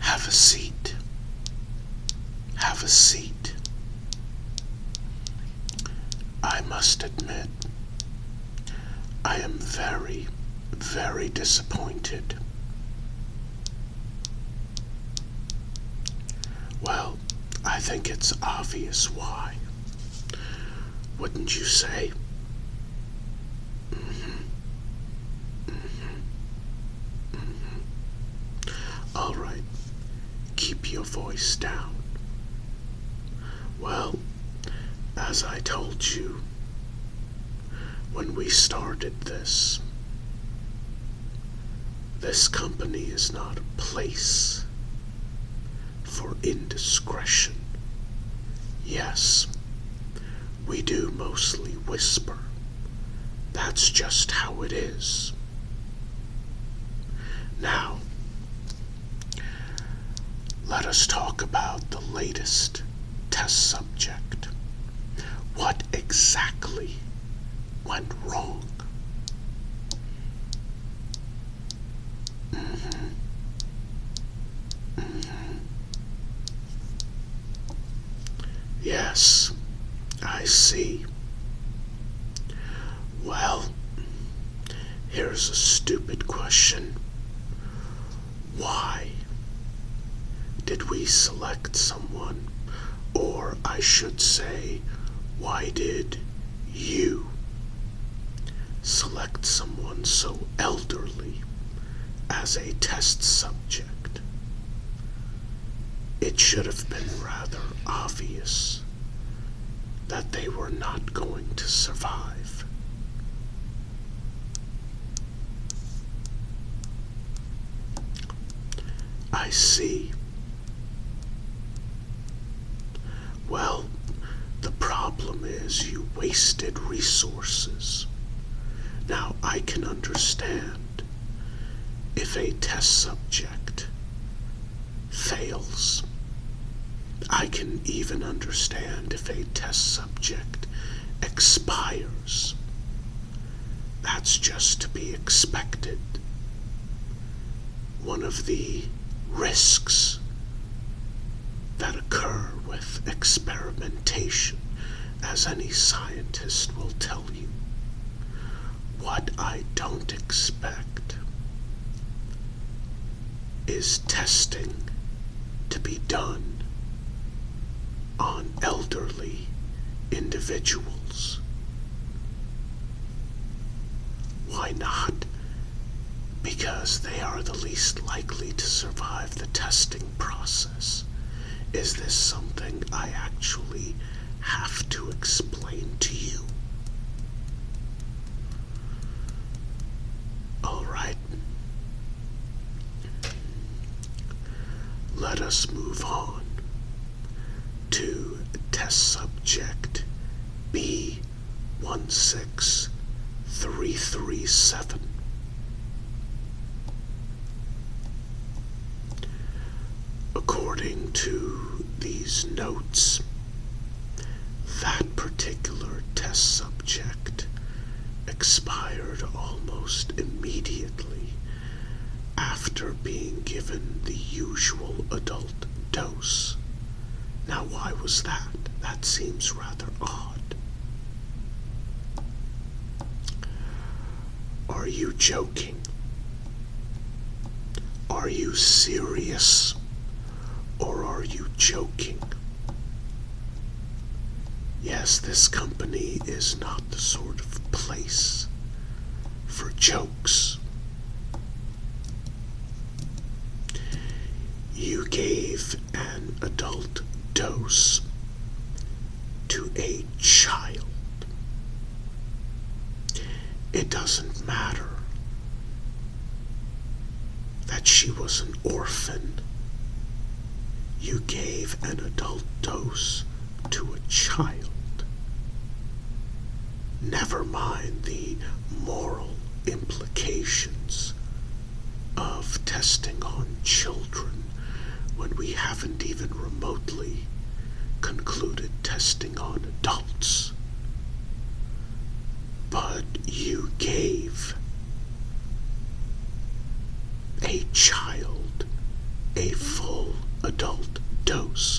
Have a seat. Have a seat. I must admit, I am very, very disappointed. Well, I think it's obvious why. Wouldn't you say? Mm-hmm. Mm-hmm. All right, keep your voice down. Well, as I told you when we started this, this company is not a place, for indiscretion. Yes, we do mostly whisper. That's just how it is. Now, let us talk about the latest test subject. What exactly went wrong? Mm-hmm. Yes, I see. Well, here's a stupid question. Why did we select someone? Or I should say, why did you select someone so elderly as a test subject. It should have been rather obvious that they were not going to survive. I see well, the problem is you wasted resources. Now, I can understand if a test subject fails. I can even understand if a test subject expires. That's just to be expected one of the risks that occur with experimentation, as any scientist will tell you. What I don't expect is testing to be done on elderly individuals why not? Because they are the least likely to survive the testing process. Is this something I actually have to explain to you? Alright. Let us move on to test subject B16337. According to these notes, that particular test subject expired almost immediately after being given the usual adult dose. Now, why was that? That seems rather odd. Are you joking? Are you serious? Or are you joking? Yes, this company is not the sort of place for jokes. You gave an adult dose to a child. It doesn't matter that she was an orphan. You gave an adult dose to a child. Never mind the moral implications of testing on children when we haven't even remotely concluded testing on adults. But you gave a child a full adult dose.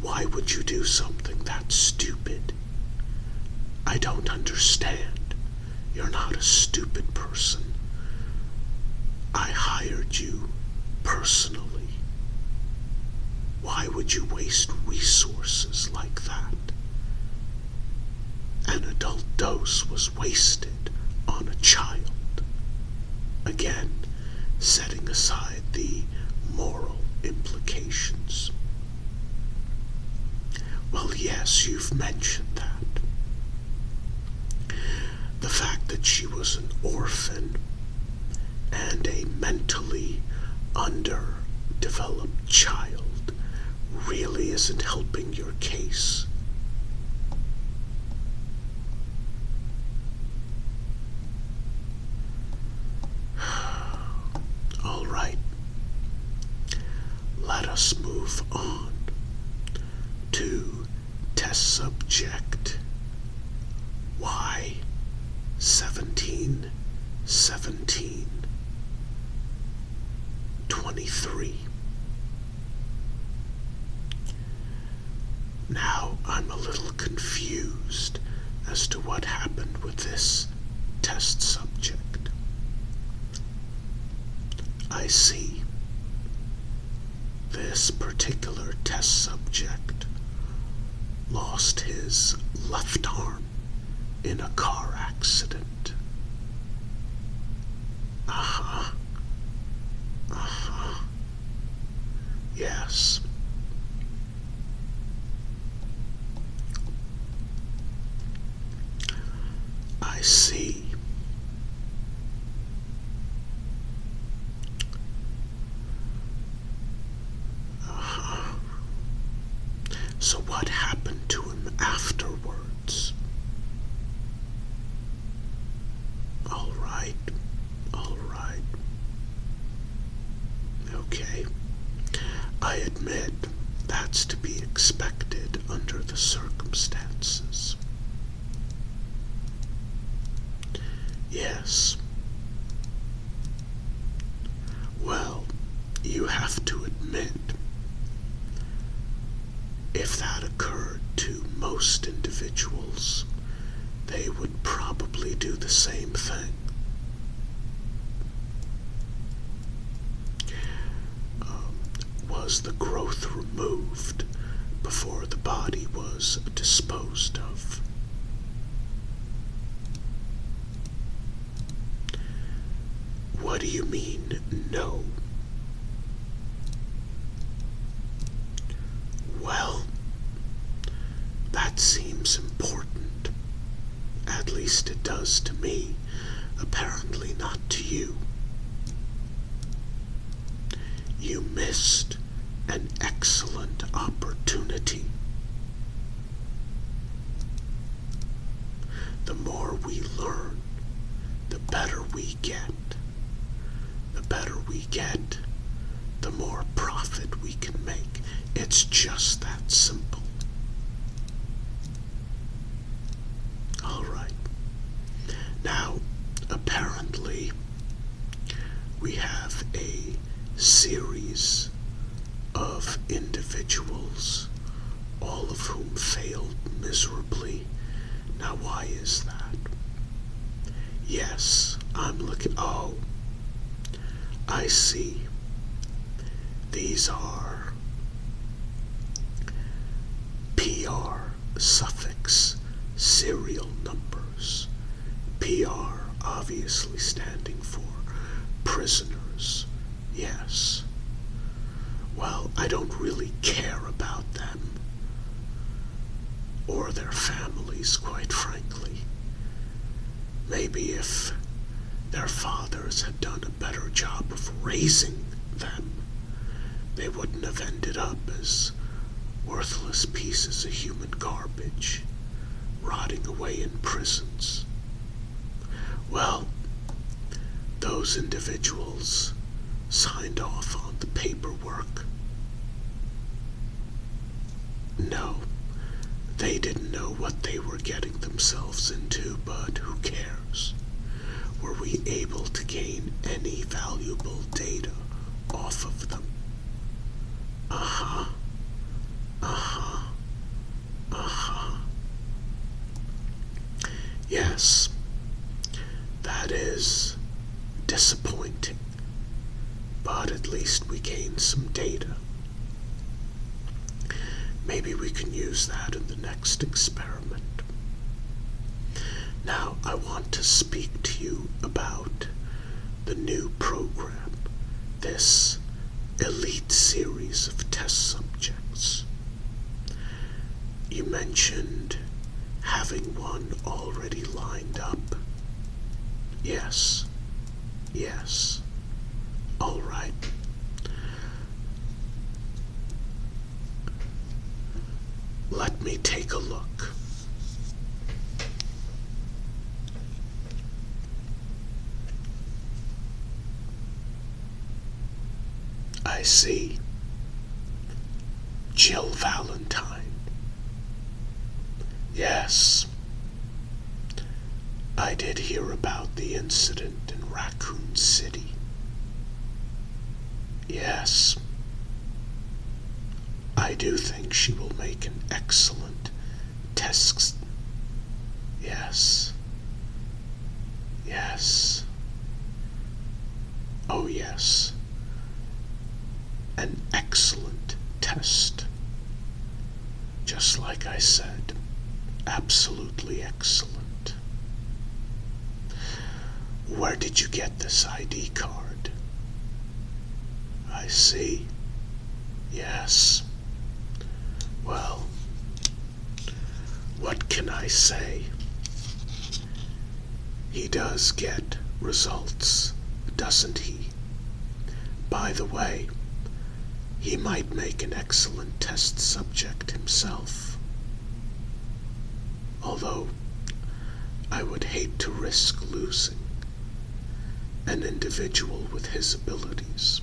Why would you do something that stupid? I don't understand. You're not a stupid person. I hired you personally. Why would you waste resources like that? An adult dose was wasted on a child, again setting aside the moral implications. Well, yes, you've mentioned that. The fact that she was an orphan and a mentally underdeveloped child really isn't helping your case. All right, let us move on to test subject Y seventeen seventeen. 23. Now I'm a little confused as to what happened with this test subject. I see this particular test subject lost his left arm in a car accident it. Uh huh. Uh huh. Yes. I see. Uh -huh. So, what happened to afterwards. All right, all right. Okay. I admit that's to be expected under the circumstances. Yes. Well, you have to admit, if that occurred to most individuals, they would probably do the same thing. Um, was the growth removed before the body was disposed of? What do you mean, no? Well, that seems important. At least it does to me, apparently not to you. You missed an excellent opportunity. The more we learn, the better we get. The better we get, the more profit we can make. It's just that simple. All right. Now, apparently, we have a series of individuals, all of whom failed miserably. Now, why is that? Yes, I'm looking. Oh, I see. These are PR suffix serial numbers. PR obviously standing for prisoners, yes. Well, I don't really care about them or their families, quite frankly. Maybe if their fathers had done a better job of raising them, they wouldn't have ended up as worthless pieces of human garbage rotting away in prisons. Well, those individuals signed off on the paperwork. No, they didn't know what they were getting themselves into, but who cares? Were we able to gain any valuable data off of them? Uh-huh. uh Yes. That is disappointing. But at least we gained some data. Maybe we can use that in the next experiment. Now I want to speak to you about the new program, this elite series of test subjects. You mentioned having one already lined up. Yes, yes, all right. Let me take a look. I see. Jill Valentine. Yes. I did hear about the incident in Raccoon City. Yes. I do think she will make an excellent test. Yes. Yes. Oh, yes. An excellent test. Just like I said, absolutely excellent. Where did you get this ID card? I see. Yes. Well, what can I say? He does get results, doesn't he? By the way, he might make an excellent test subject himself although I would hate to risk losing an individual with his abilities.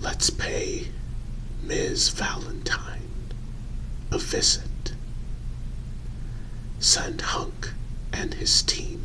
Let's pay Ms. Valentine a visit. Sandhunk and his team.